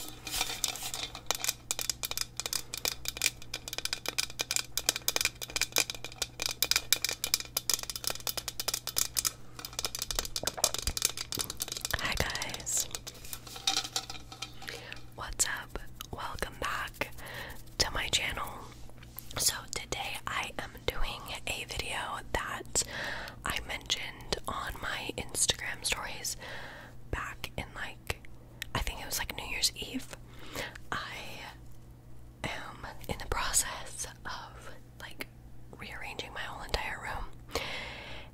Hi guys. What's up? Welcome back to my channel. So today I am doing a video that I mentioned on my Instagram stories back in like I think it was like New Year's Eve. I am in the process of like rearranging my whole entire room.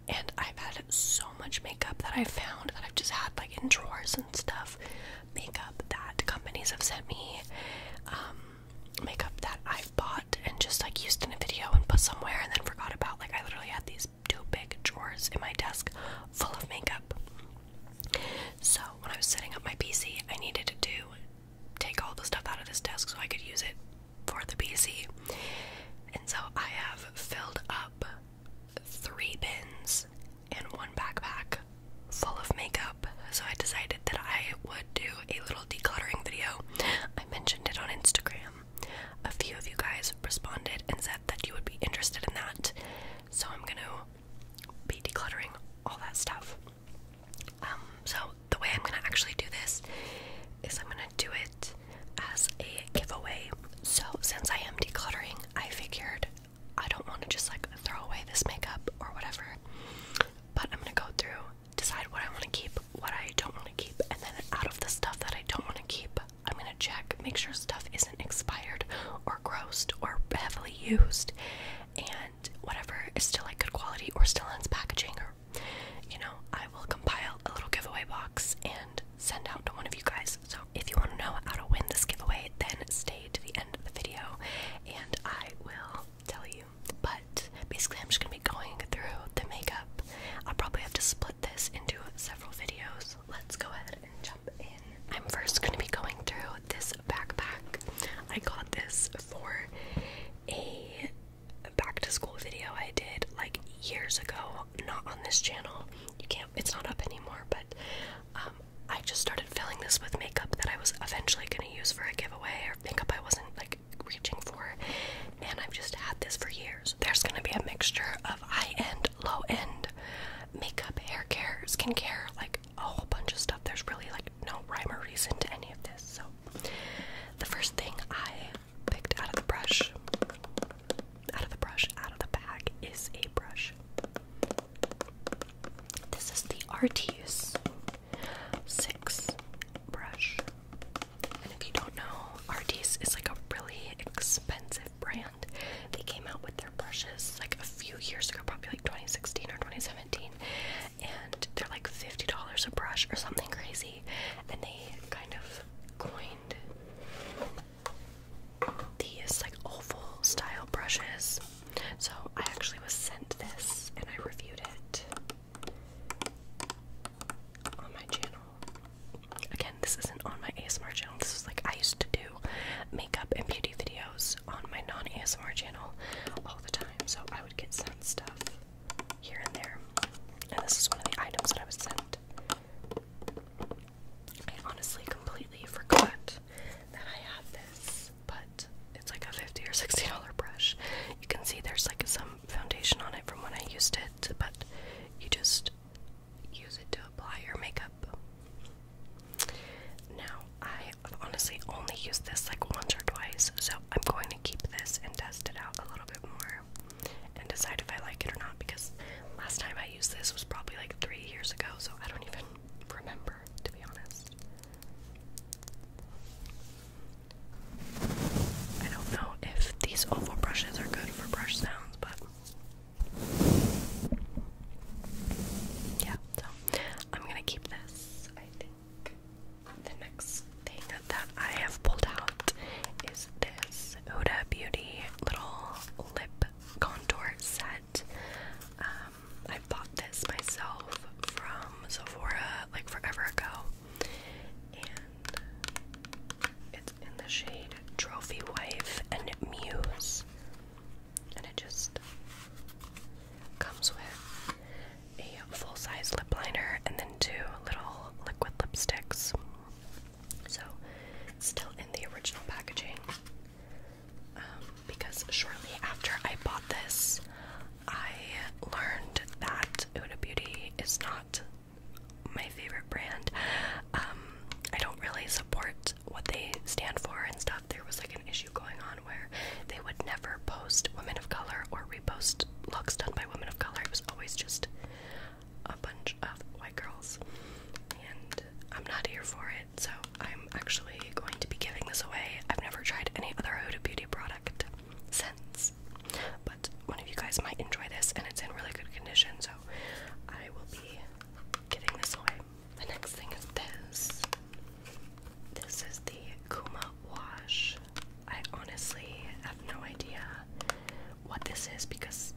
And I've had so much makeup that I found that I've just had like in drawers and stuff. Makeup that companies have sent me. Um, makeup that I've bought and just like used in a video and put somewhere and then forgot about. Like I literally had these two big drawers in my desk full of makeup. So when I was setting up my PC, I needed to take all the stuff out of this desk so I could use it for the PC. And so I have filled up three bins and one backpack full of makeup. So I decided that I would do a little decluttering video. I mentioned it on Instagram. A few of you guys responded and said that you would be interested in that, so I'm gonna be decluttering all that stuff. Um, so, the way I'm gonna actually do this is I'm gonna do it as a giveaway. So, since I am decluttering, I figured I don't want to just like throw away this makeup or whatever, but I'm gonna go through, decide what I want to keep, what I don't want to keep, and then out of the stuff that I don't want to keep, I'm gonna check, make sure stuff isn't expired or grossed or heavily used, and whatever is still like good quality or still in its packaging, or you know, I will compile a little giveaway box and send out to one of you guys. So if you want to know how to win this giveaway, then stay to the end of the video, and I will tell you. But basically, I'm just gonna be going through the makeup. I'll probably have to split this into several videos. Let's go ahead and jump in. I'm first going to be going through this backpack. I got this for a back to school video I did like years ago, not on this channel. You can't, it's not up anymore, but um, I just started filling this with makeup that I was eventually going to use for a giveaway or makeup I wasn't like reaching for and I've just had this for years. There's gonna be a mixture of high end, low end makeup, hair care, care, like a whole bunch of stuff. There's really like no rhyme or reason to any of this. So, the first thing I picked out of the brush, out of the brush, out of the bag is a brush. This is the Artuse 6 brush. And if you don't know, Artis is like a really expensive brand. They came out with their brushes like a few years ago, probably like 2016 or 2017, and they're like $50 a brush or something crazy. And they kind of coined these like oval style brushes. So I actually was sent this and I reviewed it on my channel. Again, this isn't on my ASMR channel. This is like I used to do makeup and beauty videos on my non ASMR channel all the time. So I would get sent stuff here and there. And this is one of the items that I was sent. I honestly completely forgot that I had this, but it's like a fifty or sixty dollar brush. You can see there's like some foundation on it from when I used it, but you just use it to apply your makeup. Now, I honestly only used this like once or twice, so I'm going to keep this and test it out a little bit more and decide if I like it or not because last time I used this was probably like three years ago, so I don't even remember to be honest. I don't know if these oval brushes are good for brush yeah, so I'm gonna keep this. I think the next thing that I have pulled out is this Oda Beauty little lip contour set. Um, I bought this myself from Sephora like forever ago it's in the shade Trophy Wife and Muse. And it just comes with a full size lip liner and then two little liquid lipsticks. So, still in the original packaging. Um, because shortly after I bought this, I learned that Huda Beauty is not my favorite brand. Um, I don't really support what they stand for and stuff. There was like an issue going on where they would never post women of color or repost looks done by women of color. It was always just a bunch of white girls. And I'm not here for it, so I'm actually going to be giving this away. I've never tried any other Huda Beauty product since but one of you guys might enjoy this, and it's in really good condition, so I will be giving this away. The next thing is this. This is the Kuma Wash. I honestly have no idea what this is because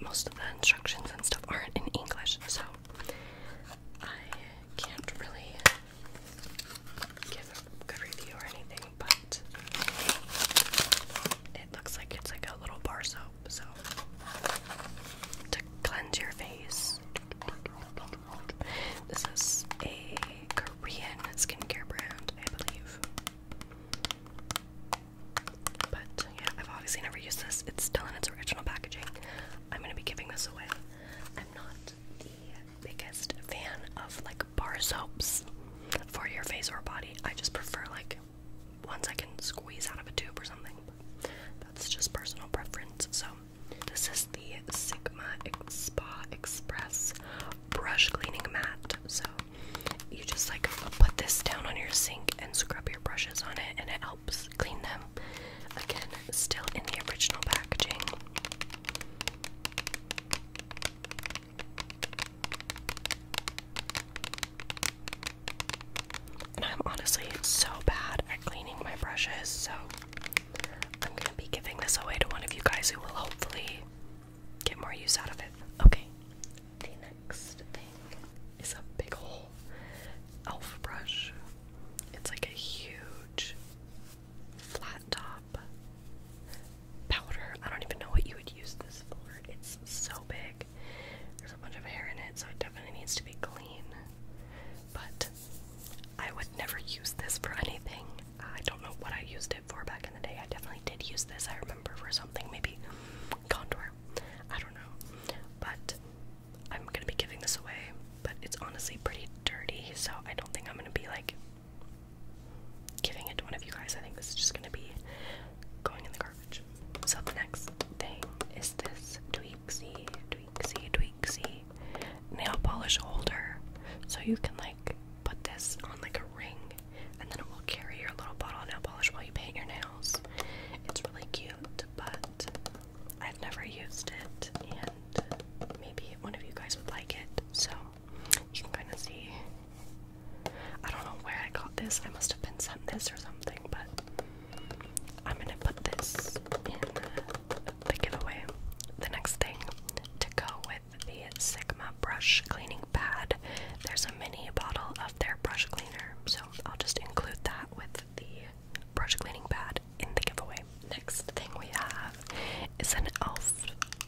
most of the instructions and stuff aren't in English, so I can't really give a good review or anything but it looks like it's like a little bar soap, so to cleanse your face. This is a Korean skincare brand, I believe. But yeah, I've obviously never used this. It's still in its original packaging. I'm gonna be giving this away. I'm not the biggest fan of like bar soaps for your face or body. I just prefer like like I can squeeze out of a tube or something. that's just personal preference. So this is the Sigma Spa Express brush cleaning mat. So you just like put this down on your sink and scrub your brushes on it, and it helps clean them. Again, still in the original packaging. And I'm honestly so bad at cleaning my brushes, so I'm gonna be giving this away to one of you guys who will hopefully get more use out of it. Okay, the next thing is a big ol' elf brush. It's like a huge flat top powder. I don't even know what you would use this for. It's so big. There's a bunch of hair in it, so it definitely needs to be clean. But I would never use this for anything. I don't know what I used it for back in the day. I definitely did use this, I remember, for something. Maybe contour. I don't know. But I'm gonna be giving this away. But it's honestly pretty dirty, so I don't think I'm gonna be like giving it to one of you guys. I think this is just gonna be going in the garbage. So the next thing is this Tweaksy, Tweaksy, Tweaksy nail polish holder. So you can like put this on like a ring and then it will carry your little bottle of nail polish while you paint your nails. It's really cute, but I've never used it and maybe one of you guys would like it. So you can kind of see I don't know where I got this. I must have been sent this or something, but I'm gonna put this in the giveaway. The next thing to go with the Sigma brush cleaning pad, there's a mini bottle of their brush cleaner, so I'll just include that with the brush cleaning pad in the giveaway. Next thing we have is an e.l.f.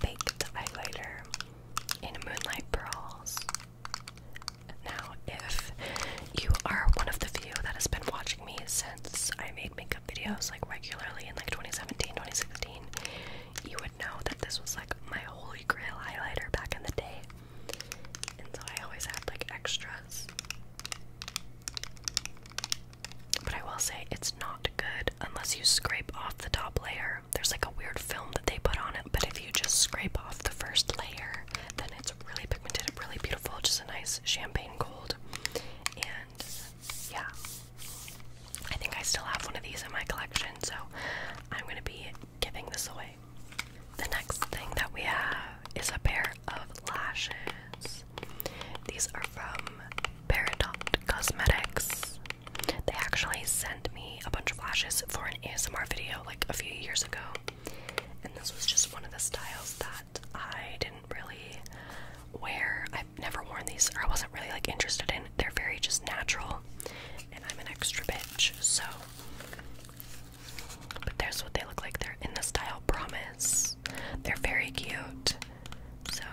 baked highlighter in Moonlight Pearls. Now, if you are one of the few that has been watching me since I made makeup videos like regularly in like 2017, you would know that this was like my holy grail highlighter back in the day. And so I always had like extras. But I will say it's not good unless you scrape off the top layer there's like a weird film that they put on it, but if you just scrape off the first layer, then it's really pigmented, really beautiful, just a nice champagne gold. And yeah, I think I still have one of these in my collection, so I'm gonna be giving this away. The next thing that we have is a pair of lashes. These are from Paradox Cosmetics. They actually sent me a bunch of lashes for an ASMR video like a few years ago. And this was just one of the styles that I didn't really wear. I've never worn these or I wasn't really like interested in. They're very just natural. And I'm an extra bitch, so but there's what they look like. They're in the style promise. They're very cute. So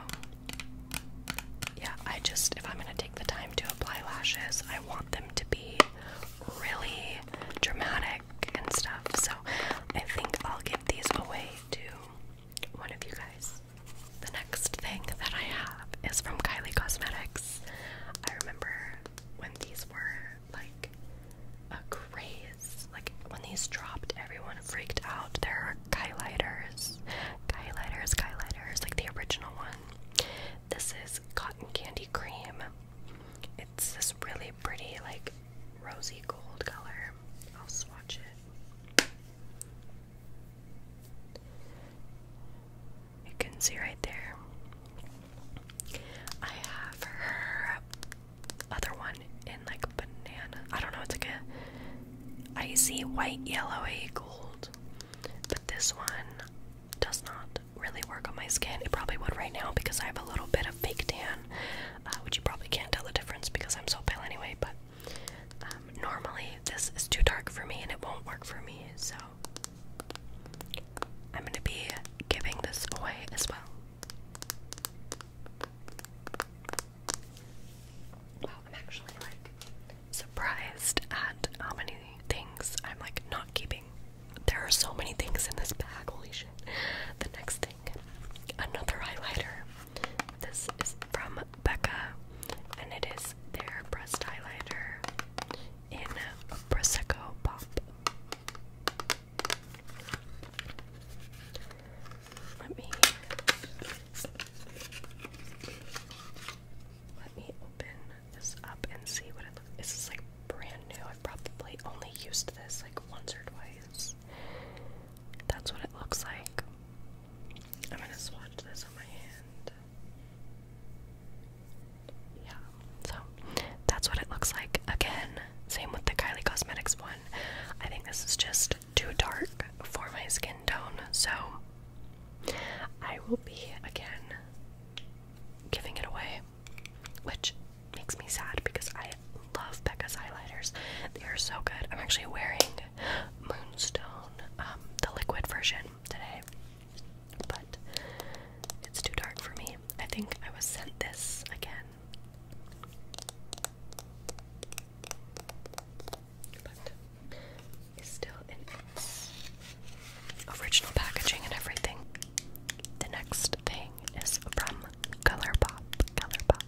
yeah, I just if I'm gonna take the time to apply lashes, I want them to be really dramatic and stuff. So I think I'll give these away to one of you guys. The next thing that I have is from Kylie Cosmetics. I remember when these were like a craze. Like when these dropped, everyone freaked out. There are Kylighters, Kylighters, Kylighters, like the original one. This is cotton candy cream. It's this really pretty, like rosy gold color. I'll swatch it. You can see right there. I have her other one in like banana. I don't know, it's like a icy white, yellowy gold. But this one does not really work on my skin. It probably would right now because I have a little bit of fake tan, uh, which you probably can't tell the difference because I'm so pale anyway. But um, normally this is too dark for me and it won't work for me, so I'm gonna be giving this away as well. Wow, I'm actually like surprised at how many things I'm like not keeping. There are so many things in this bag, holy shit. The next thing, another highlighter. This is from Becca, and it is their breast highlighter in Prosecco Pop. Let me let me open this up and see what it looks like. This is like brand new. I've probably only used this like once or twice. That's what it looks like. I'm gonna swatch this on my hand. Yeah, so that's what it looks like. Again, same with the Kylie Cosmetics one. I think this is just too dark for my skin tone, so I will be again giving it away, which makes me sad because I love Becca's highlighters. They are so good. I'm actually wearing Moonstone, um, the liquid version today, but it's too dark for me. I think I was sent this again. But still in original packaging and everything. The next thing is from Color Pop. Color Pop.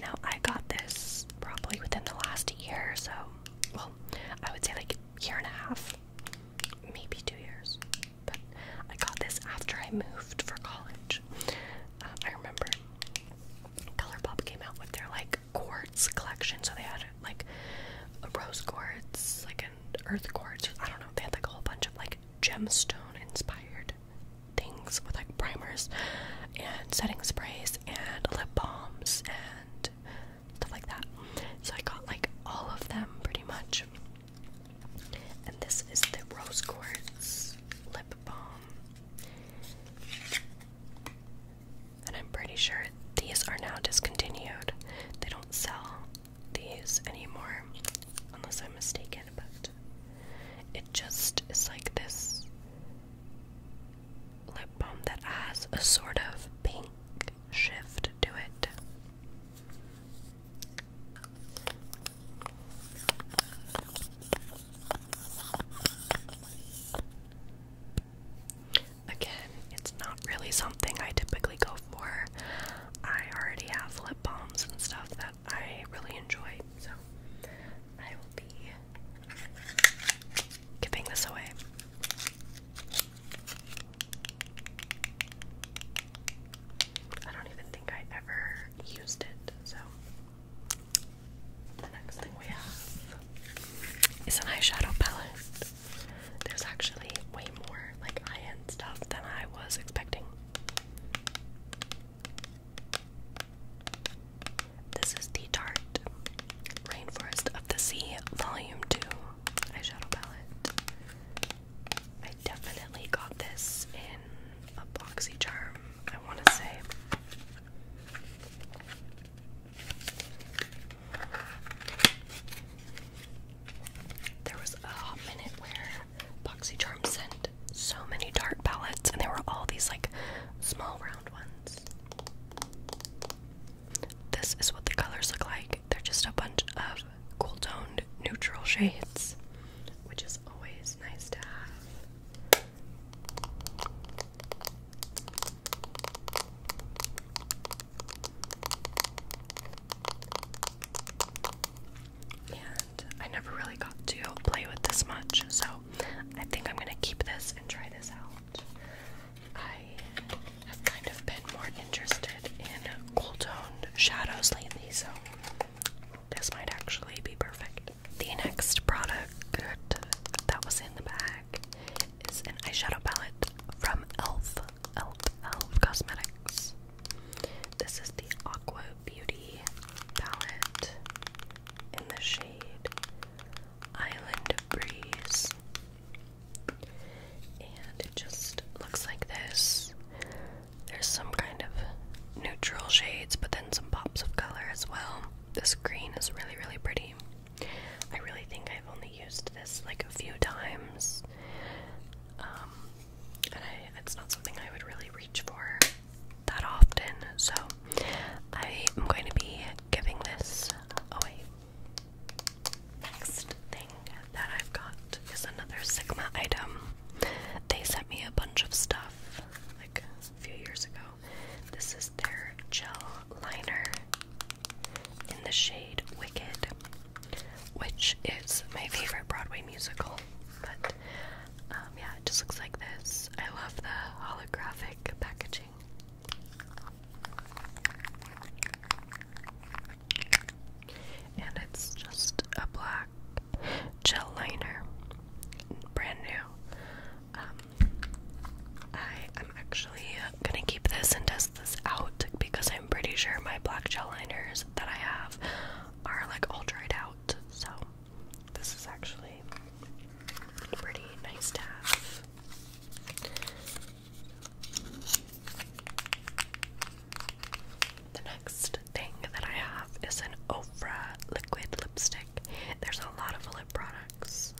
Now I got this probably within the last year or so. Well, I would say like a year and a half, maybe two years. But I got this after I moved for college. Uh, I remember Color Pop came out with their like quartz collection. So they had like rose quartz, like an earth quartz. I don't know. They had like a whole bunch of like gemstone inspired things with like primers and setting sprays and lip balms and stuff like that. So I got like all of them pretty much. And this is the rose quartz lip balm. And I'm pretty sure these are now discontinued. They don't sell these anymore, unless I'm mistaken, but it just is like this lip balm that has a sort of pink shift to it. Again, it's not really something I typically go for. I already have lip balms and stuff that I really enjoy, so I will be giving this away. I don't even think I ever used it, so the next thing we have is an eyeshadow palette there's actually way more like high-end stuff than I was expecting. This is the Tarte Rainforest of the Sea Volume 2 eyeshadow palette. I definitely got this in a boxy charm, I want to say. There was a minute where BoxyCharm sent so many dart palettes, and they were all these like small round ones. This is what the colors look like. They're just a bunch of cool toned neutral shades, which is always nice to have. And I never really got to play with this much, so I think I'm gonna keep this and try this out. I have kind of been more interested in cool toned shadows lately, so this might actually be perfect. The next product that was in the bag is an eyeshadow palette from e.l.f. Elf, Elf Cosmetics. This is the Aqua Beauty palette in the shade Island Breeze. And it just looks like this. There's some kind of neutral shades, but then some pops of color as well. This green is really, really pretty. I really think I've only used this like a few times. Um, and it's not something I would really reach for that often, so I am going to be giving this away. Next thing that I've got is another Sigma item. They sent me a bunch of stuff like a few years ago. This is their gel liner in the shade Wicked, which is my favorite Broadway musical. But um, yeah, it just looks like this. I love the holographic packaging. And it's just a black gel liner, brand new. Um, I am actually gonna keep this and test this out because I'm pretty sure my black gel liners that I have are like all dried out. So this is actually pretty nice to have. The next thing that I have is an Ofra liquid lipstick. There's a lot of lip products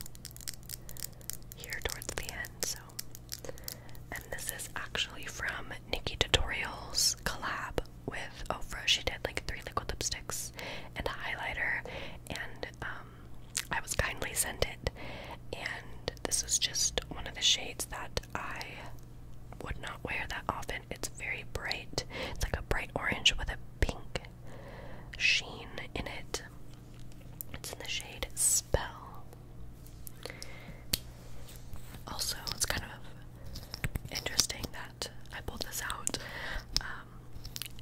here towards the end, so. And this is actually from Nikki Tutorials collab with Ofra. She did like three liquid lipsticks and a highlighter, and um, I was kindly sent it. And this is just one of the shades that I would not wear that often. It's very bright. It's like a bright orange with a pink sheen in it. It's in the shade Spell. Also, it's kind of interesting that I pulled this out um,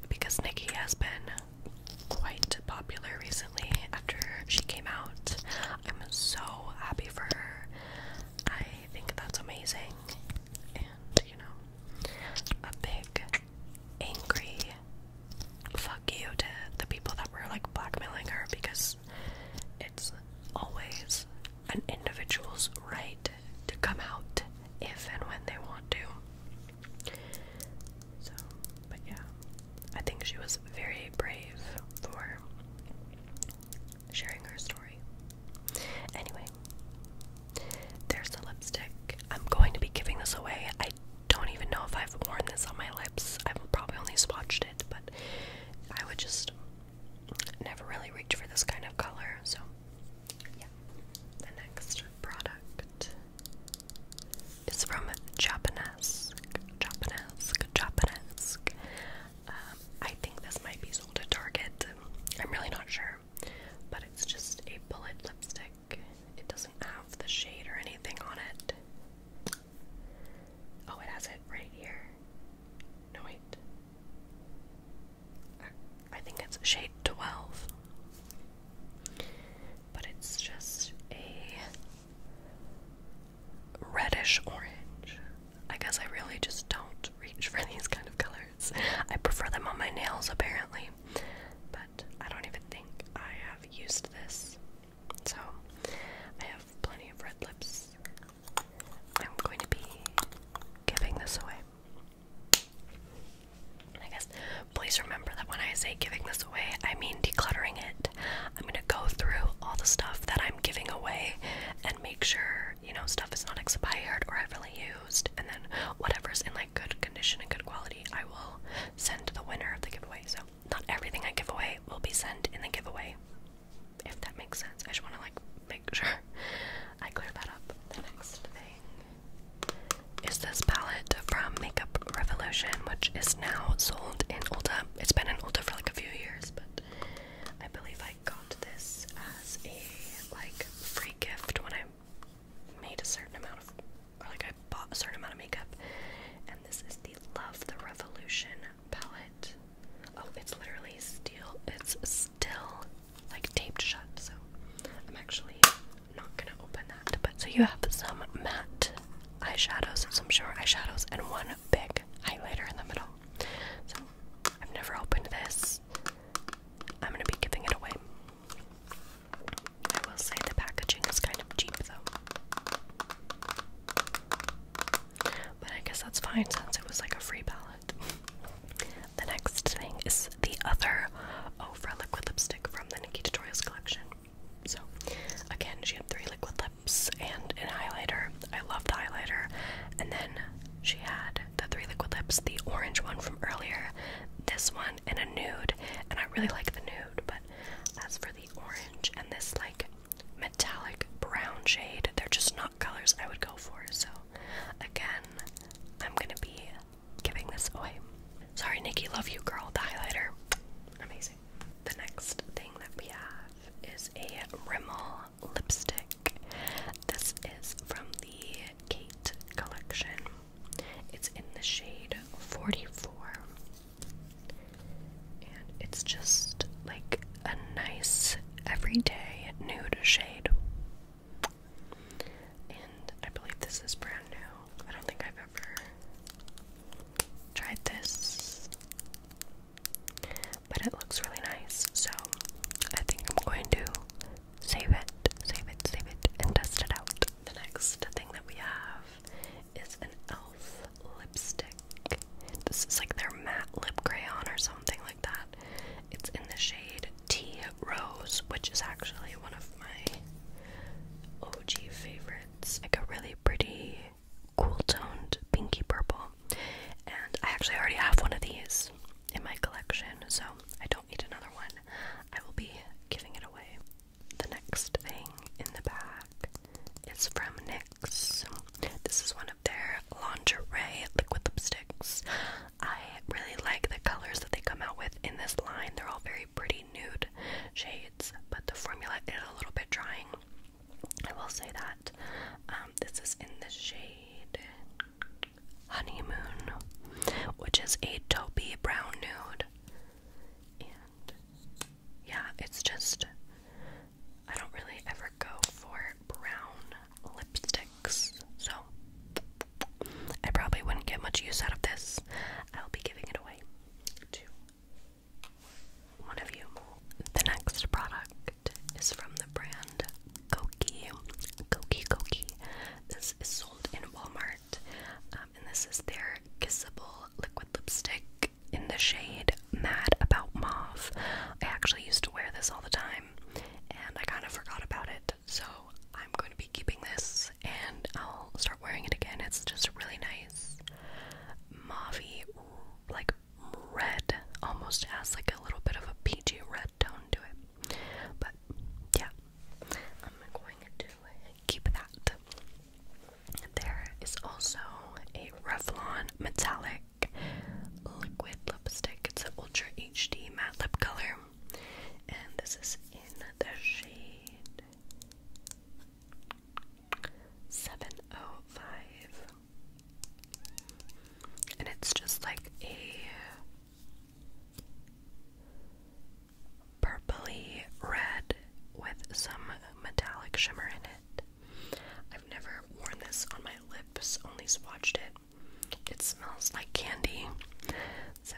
because Nikki has been quite popular recently after she came out. I'm so happy for her. I think that's amazing. And, you know, a big angry fuck you to the people that were like blackmailing her because it's always an individual's right to come out if and when they want to. So, but yeah, I think she was very brave for sharing her story. Anyway, there's the lipstick. I'm going to be giving this away don't even know if I've worn this on my lips. I've probably only swatched it, but I would just never really reach for this kind of color. So, yeah. The next product is from Japanese. Japanese. Japanese. Um, I think this might be sold at Target. I'm really not sure. But it's just a bullet lipstick it doesn't have the shade or anything on it. Oh, it has it right here. No, wait. I think it's shade 12. But it's just a reddish orange. I guess I really just don't reach for these kind of colors. I prefer them on my nails, apparently. But I don't even think I have used this. So I have plenty of red lips. I'm going to be giving this away. I guess please remember that when I say giving this away, I mean decluttering it. I'm going to go through all the stuff that I'm giving away and make sure, you know, stuff is not expired or i used, and then whatever's in like good condition and good quality, I will send to the winner of the giveaway. So not everything I give away will be sent in the giveaway. If that makes sense. I just wanna like make sure I clear that up. The next thing is this palette from Makeup Revolution, which is now sold in Ulta. It's been in Ulta for like a few years, but I believe I got this as a like free gift when I made a certain amount of, or like I bought a certain amount of makeup, and this is the Love the Revolution palette. Oh, it's literally steel. It's still like taped shut, so I'm actually not gonna open that. But so you have some matte eyeshadows, some short eyeshadows, and one big highlighter in the middle. So I've never opened this. I'm gonna be giving it away. I will say the packaging is kind of cheap though. But I guess that's fine since it was like a free palette. the next thing is the other Ofra liquid lipstick from the Nikki Tutorials collection. So, again, she had three liquid lips and an highlighter. I love the highlighter. And then she had the three liquid lips, the orange one from earlier, this one, and a nude, and I really like the nude, but as for the orange and this like metallic brown shade, they're just not colors I would go for. So, again, I'm gonna be giving this away. Sorry, Nikki, love you, girl. The highlighter, amazing. The next thing that we have is a Rimmel lipstick. This is from the Kate collection. It's in the shade 44. And it's just like a nice everyday nude shade. And I believe this is brand new. I don't think I've ever tried this. But it looks really nice. So I think I'm going to save it, save it, save it, and test it out. The next thing that we have is an e.l.f. lipstick. This is like their matte lip crayon or something like that. It's in the shade Tea Rose, which is actually one of my OG favorites. Like a really pretty, cool toned pinky purple. And I actually already have one of these in my collection, so I don't need another one. I will be giving it away. The next thing in the back is from NYX. This is one of their lingerie liquid lipsticks. I really like the colors that they come out with in this line. They're all very pretty nude shades, but the formula is a little bit drying. I will say that. Um, this is in the shade Honeymoon, which is a toppy brown nude yeah, it's just I don't really ever go for brown lipsticks, so I probably wouldn't get much use out of this. I'll be giving it away to one of you. The next product is from the brand Koki. Koki Koki. This is sold in Walmart um, and this is their Kissable Liquid Lipstick in the shade Mad About Mauve. I actually used to wear this all the time, and I kind of forgot about it. So I'm going to be keeping this, and I'll start wearing it again. It's just really nice mauvey, like red, almost has like a little bit of a peachy red tone to it. But yeah, I'm going to keep that. There is also a Revlon Metallic Liquid Lipstick. It's an Ultra HD Matte Lip Color. And this is in the shade 705. And it's just like a purpley red with some metallic shimmer in it. I've never worn this on my lips, only swatched it. It smells like candy. So,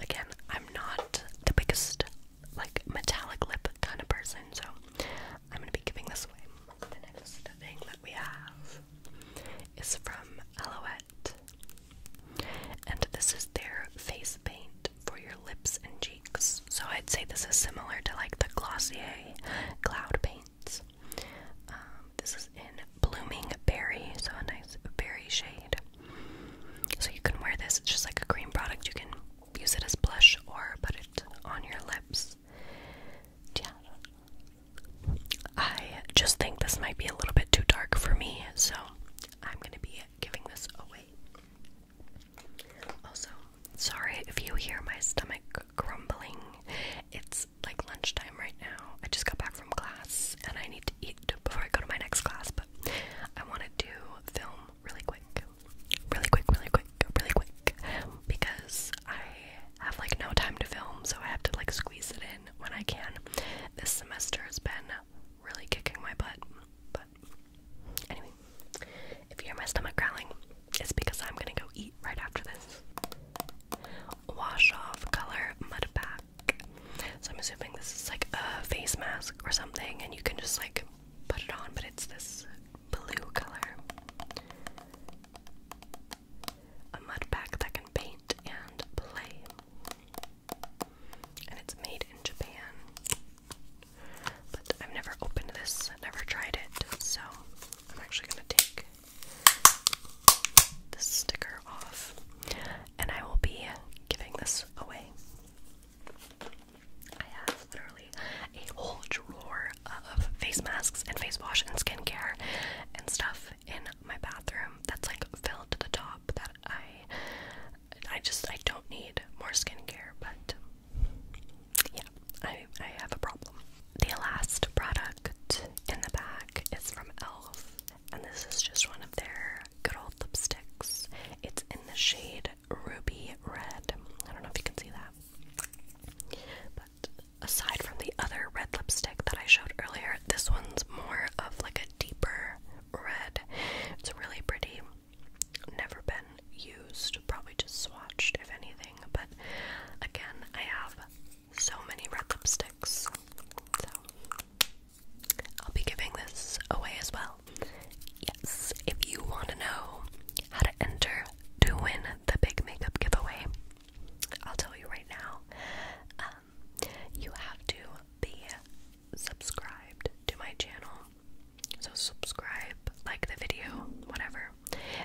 again, I'm not the biggest like metallic lip kind of person, so I'm gonna be giving this away. The next thing that we have is from Alouette, and this is their face paint for your lips and cheeks. So I'd say this is similar to like the Glossier Cloud Paints. Um, this is in Blooming Berry, so a nice berry shade. So you can wear this, it's just like a cream product. You can use it as blush or put it on your lips. Yeah. I just think this might be a little bit too dark for me, so I'm going to be giving this away. Also, sorry if you hear my stomach grumbling. It's like lunchtime right now. I just got back from class and I need to eat before I go to my next class, but I want to do film really quick. Really quick, really quick, really quick. Because I have like no time to film, so I have to like squeeze it in when I can. This semester has been really kicking my butt. But anyway, if you hear my stomach growling, it's because I'm gonna go eat right after this. Wash off color mud pack. So I'm assuming this is like a face mask or something, and you can just like put it on, but it's this blue color. A mud pack that can paint and play. And it's made in Japan. But I've never opened this, never tried it, so I'm actually going to take this sticker off and I will be giving this away. I have literally a whole drawer of face masks and face wash and skincare and stuff in my bathroom that's like filled to the top that I I just I don't need more skincare, but yeah, I I have a problem. The last product in the back is from Elf, and this is just one of their good old lipsticks. It's in the shade Ruby Red. I don't know if you can see that. But aside from the other red lipstick that I showed earlier, this one's more of like a deeper red. It's really pretty never been used, probably just swatched if anything. But again, I have so many red lipsticks, so I'll be giving this away as well. Yes, if you want to know how to enter to win the big makeup giveaway, I'll tell you right now. Um, you have to be Subscribe to my channel, so subscribe, like the video, whatever,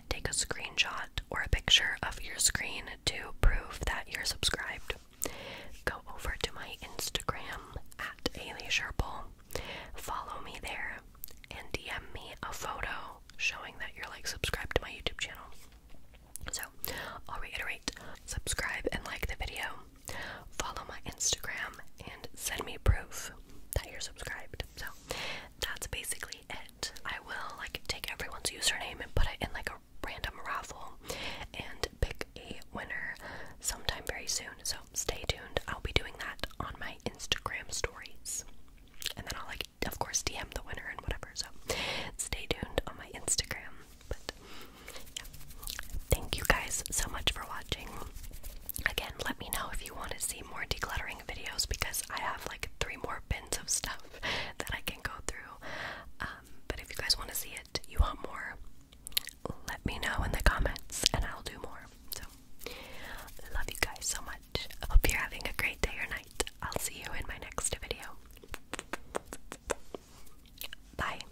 take a screenshot or a picture of your screen to prove that you're subscribed. Go over to my Instagram at Ailey Sharple. follow me there, and DM me a photo showing that you're like subscribed to my YouTube channel. So, I'll reiterate subscribe and like the video, follow my Instagram, and send me proof that you're subscribed. So that's basically it. I will like take everyone's username and put it in like a random raffle and pick a winner sometime very soon. So stay tuned. I'll be doing that on my Instagram stories. And then I'll like of course DM the winner and whatever. So stay tuned on my Instagram. But yeah. Thank you guys so much for watching. Again, let me know if you want to see more decluttering videos because I have like three more bins of stuff that I can go through. Um, but if you guys want to see it, you want more, let me know in the comments and I'll do more. So, love you guys so much. Hope you're having a great day or night. I'll see you in my next video. Bye.